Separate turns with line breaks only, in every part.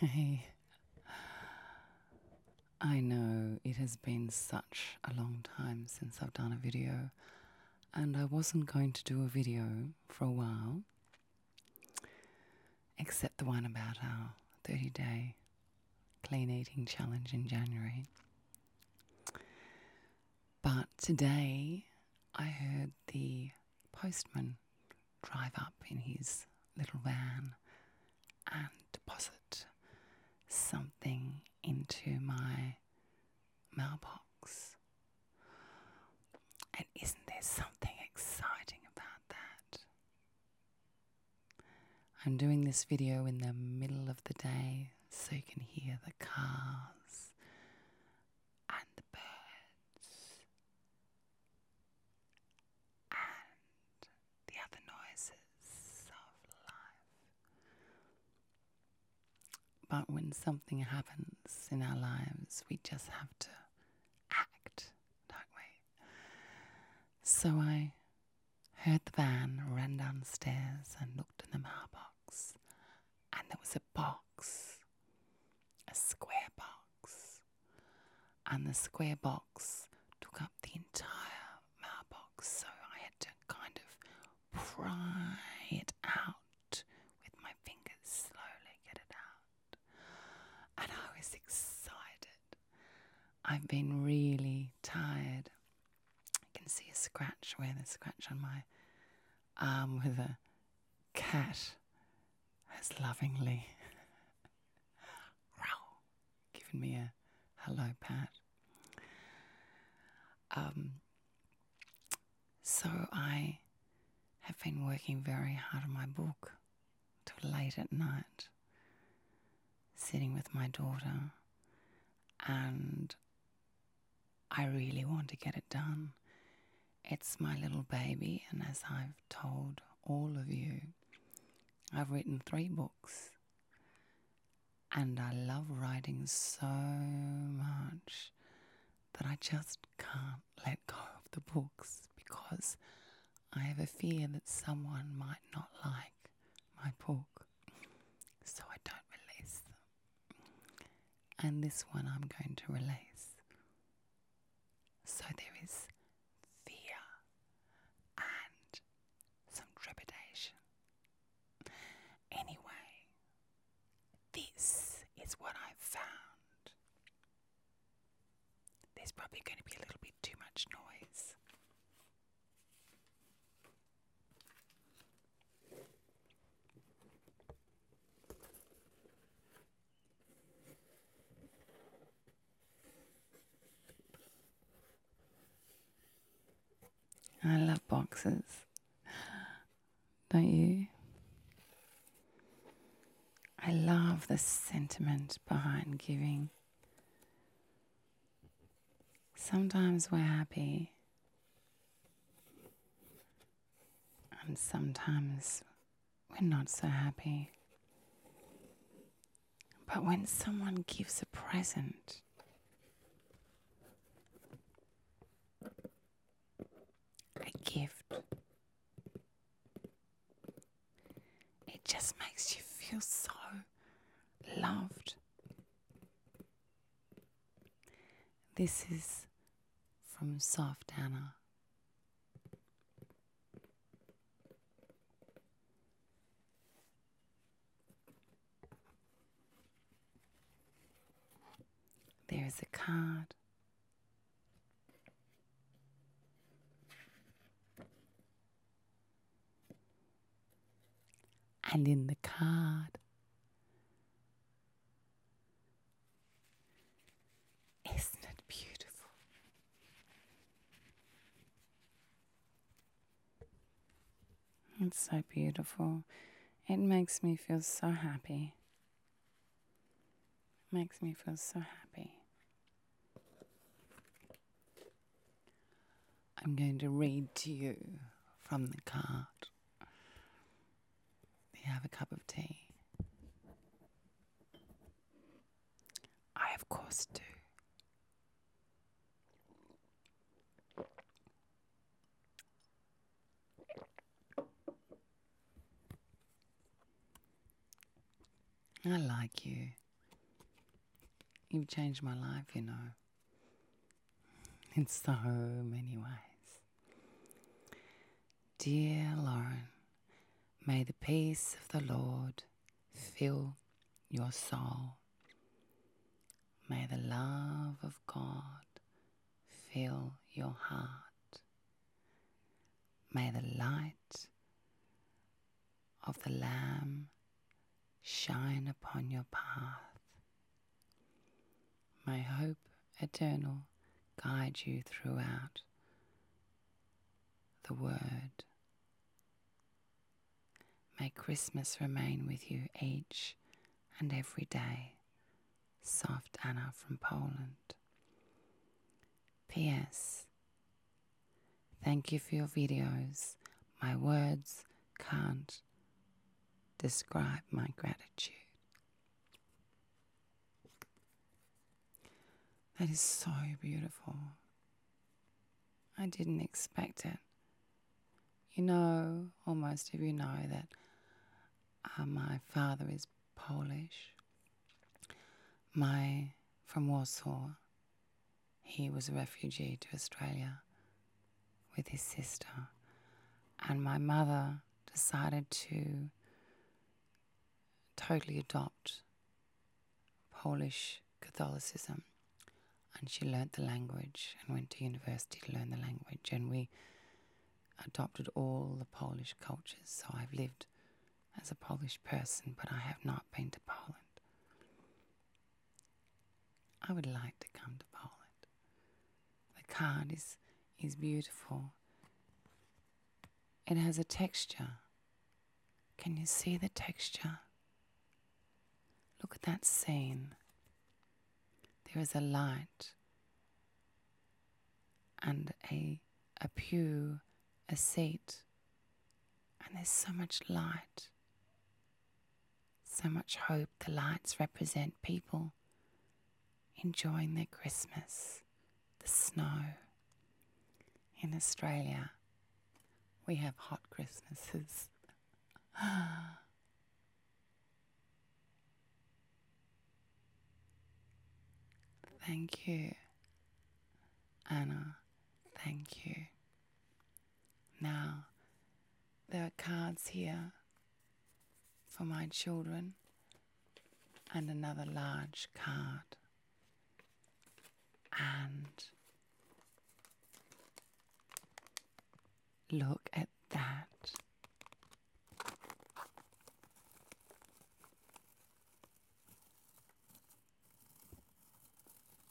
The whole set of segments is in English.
Hey, I know it has been such a long time since I've done a video, and I wasn't going to do a video for a while, except the one about our 30 day clean eating challenge in January. But today I heard the postman drive up in his little van and deposit something into my mailbox. And isn't there something exciting about that? I'm doing this video in the middle of the day so you can hear the cars and the birds and the other noises of life. But when something happens in our lives, we just have to act, don't we? So I heard the van, ran downstairs, and looked in the mailbox, and there was a box a square box, and the square box took up the entire mailbox, so I had to kind of pry it out with my fingers, slowly get it out. And I was excited. I've been really tired. I can see a scratch where there's a scratch on my arm with a cat has lovingly given me a hello pat. Um, so I have been working very hard on my book till late at night, sitting with my daughter, and I really want to get it done. It's my little baby, and as I've told all of you, I've written three books. And I love writing so much that I just can't let go of the books because I have a fear that someone might not like my book. So I don't release them and this one I'm going to release. So there is fear and some trepidation. Anyway, this is what I've found. There's probably going to be a little bit too much noise. I love boxes, don't you? I love the sentiment behind giving. Sometimes we're happy. And sometimes we're not so happy. But when someone gives a present, a gift, it just makes you feel so loved this is from Soft Anna. There's a card. And in the card, isn't it beautiful? It's so beautiful. It makes me feel so happy. It makes me feel so happy. I'm going to read to you from the card have a cup of tea? I, of course, do. I like you. You've changed my life, you know in so many ways. Dear Lauren, may the peace of the Lord fill your soul. May the love of God fill your heart. May the light of the Lamb shine upon your path May hope eternal guide you throughout the Word. May Christmas remain with you each and every day. Soft Anna from Poland. P.S. Thank you for your videos. My words can't describe my gratitude. That is so beautiful. I didn't expect it. You know, or most of you know, that uh, my father is Polish. My from Warsaw. He was a refugee to Australia with his sister. And my mother decided to totally adopt Polish Catholicism. And she learnt the language and went to university to learn the language. And we adopted all the Polish cultures. So I've lived as a Polish person, but I have not been to Poland. I would like to come to Poland. The card is, is beautiful. It has a texture. Can you see the texture? Look at that scene. There is a light and a, a pew, a seat, and there's so much light so much hope the lights represent people enjoying their Christmas, the snow. In Australia, we have hot Christmases. Thank you, Anna. Thank you. Now, there are cards here for my children and another large card. And look at that.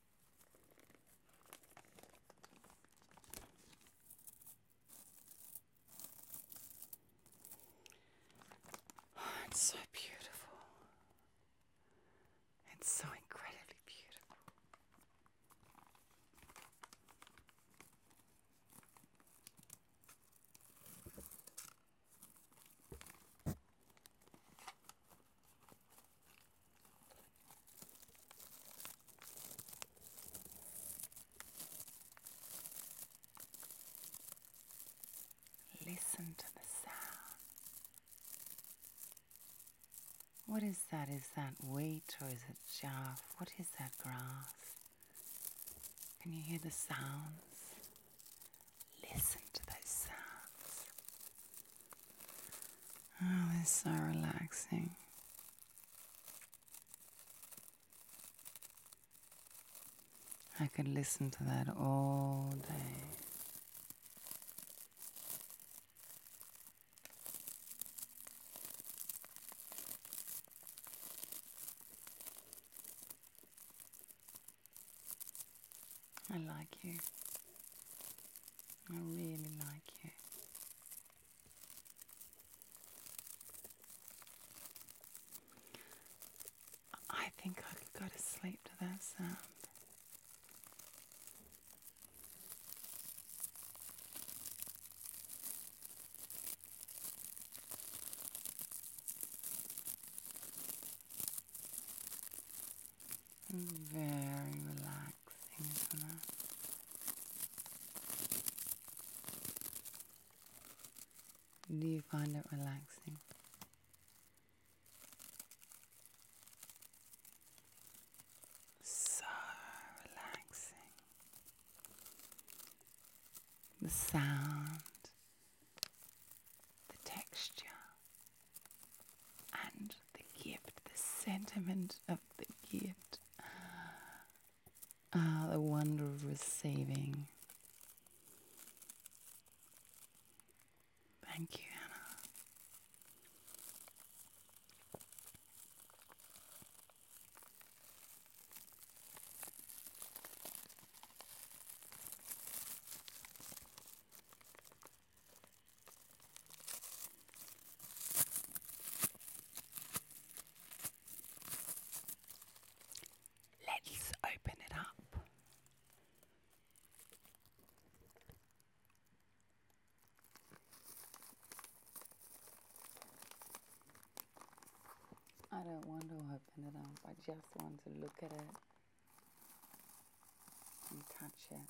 it's so beautiful. It's so incredibly beautiful. Listen to the sound. What is that? Is that wheat or is it chaff? What is that grass? Can you hear the sounds? Listen to those sounds. Oh, it's so relaxing. I could listen to that all day. I like you. I really like it. I think I could go to sleep to that sound very relaxing for that. Do you find it relaxing? So relaxing. The sound, the texture, and the gift, the sentiment of the gift, ah, the wonder of receiving. Thank you, Anna. Let's open it up. I don't want to open it up, I just want to look at it and touch it.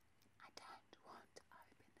I don't want to open it.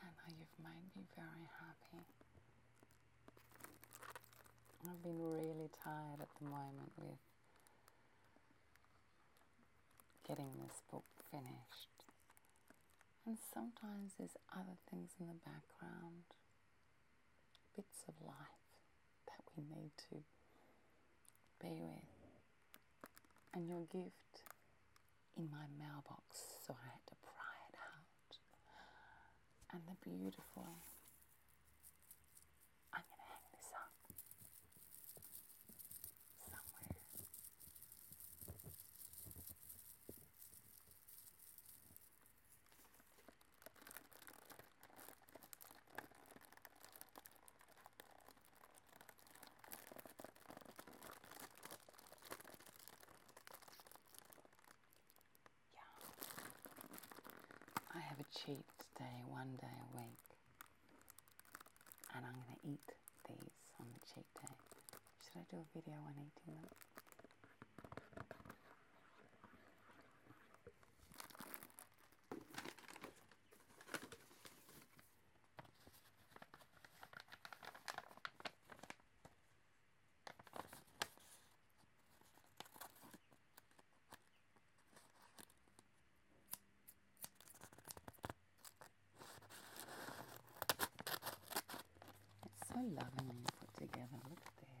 Anna, you've made me very happy. I've been really tired at the moment with getting this book finished. And sometimes there's other things in the background, bits of life that we need to be with. And your gift in my mailbox, so I had to pry it out. And the beautiful I'm going to hang this up somewhere. Yeah. I have a cheat day, one day a week and I'm going to eat these on the cheat day. Should I do a video on eating them? It's so lovely you put together. Look at this.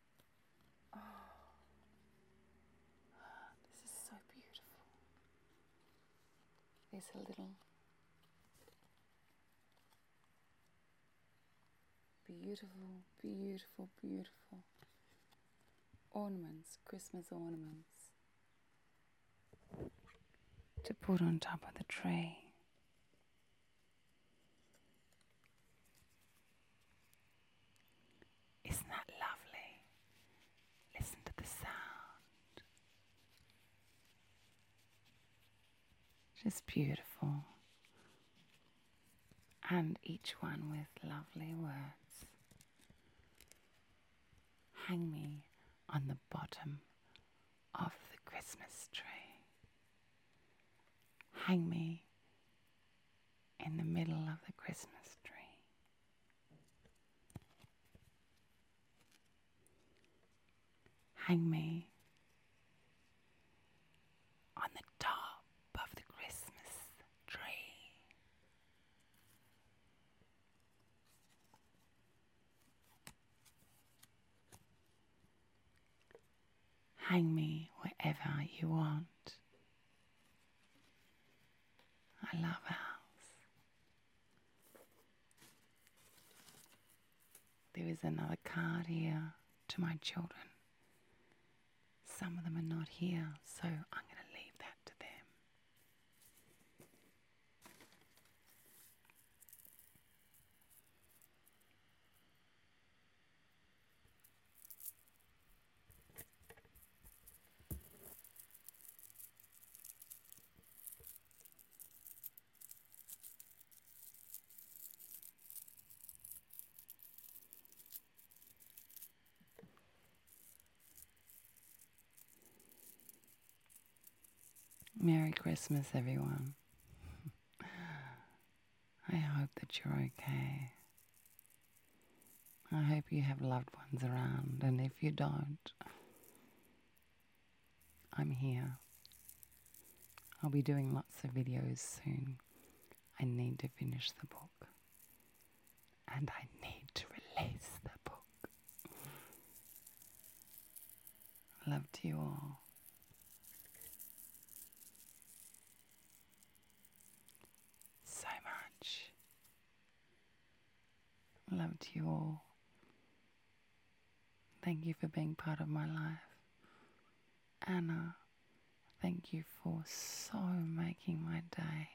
Oh, this is so beautiful. There's a little beautiful, beautiful, beautiful ornaments, Christmas ornaments to put on top of the tree. Isn't that lovely? Listen to the sound. Just beautiful. And each one with lovely words. Hang me on the bottom of the Christmas tree. Hang me in the middle of the Christmas tree. Hang me on the top of the Christmas tree. Hang me wherever you want. I love owls. There is another card here to my children. Some of them are not here, so I'm going to leave that to them. Merry Christmas, everyone. I hope that you're okay. I hope you have loved ones around, and if you don't, I'm here. I'll be doing lots of videos soon. I need to finish the book. And I need to release the book. Love to you all. So much. Love to you all. Thank you for being part of my life. Anna, thank you for so making my day.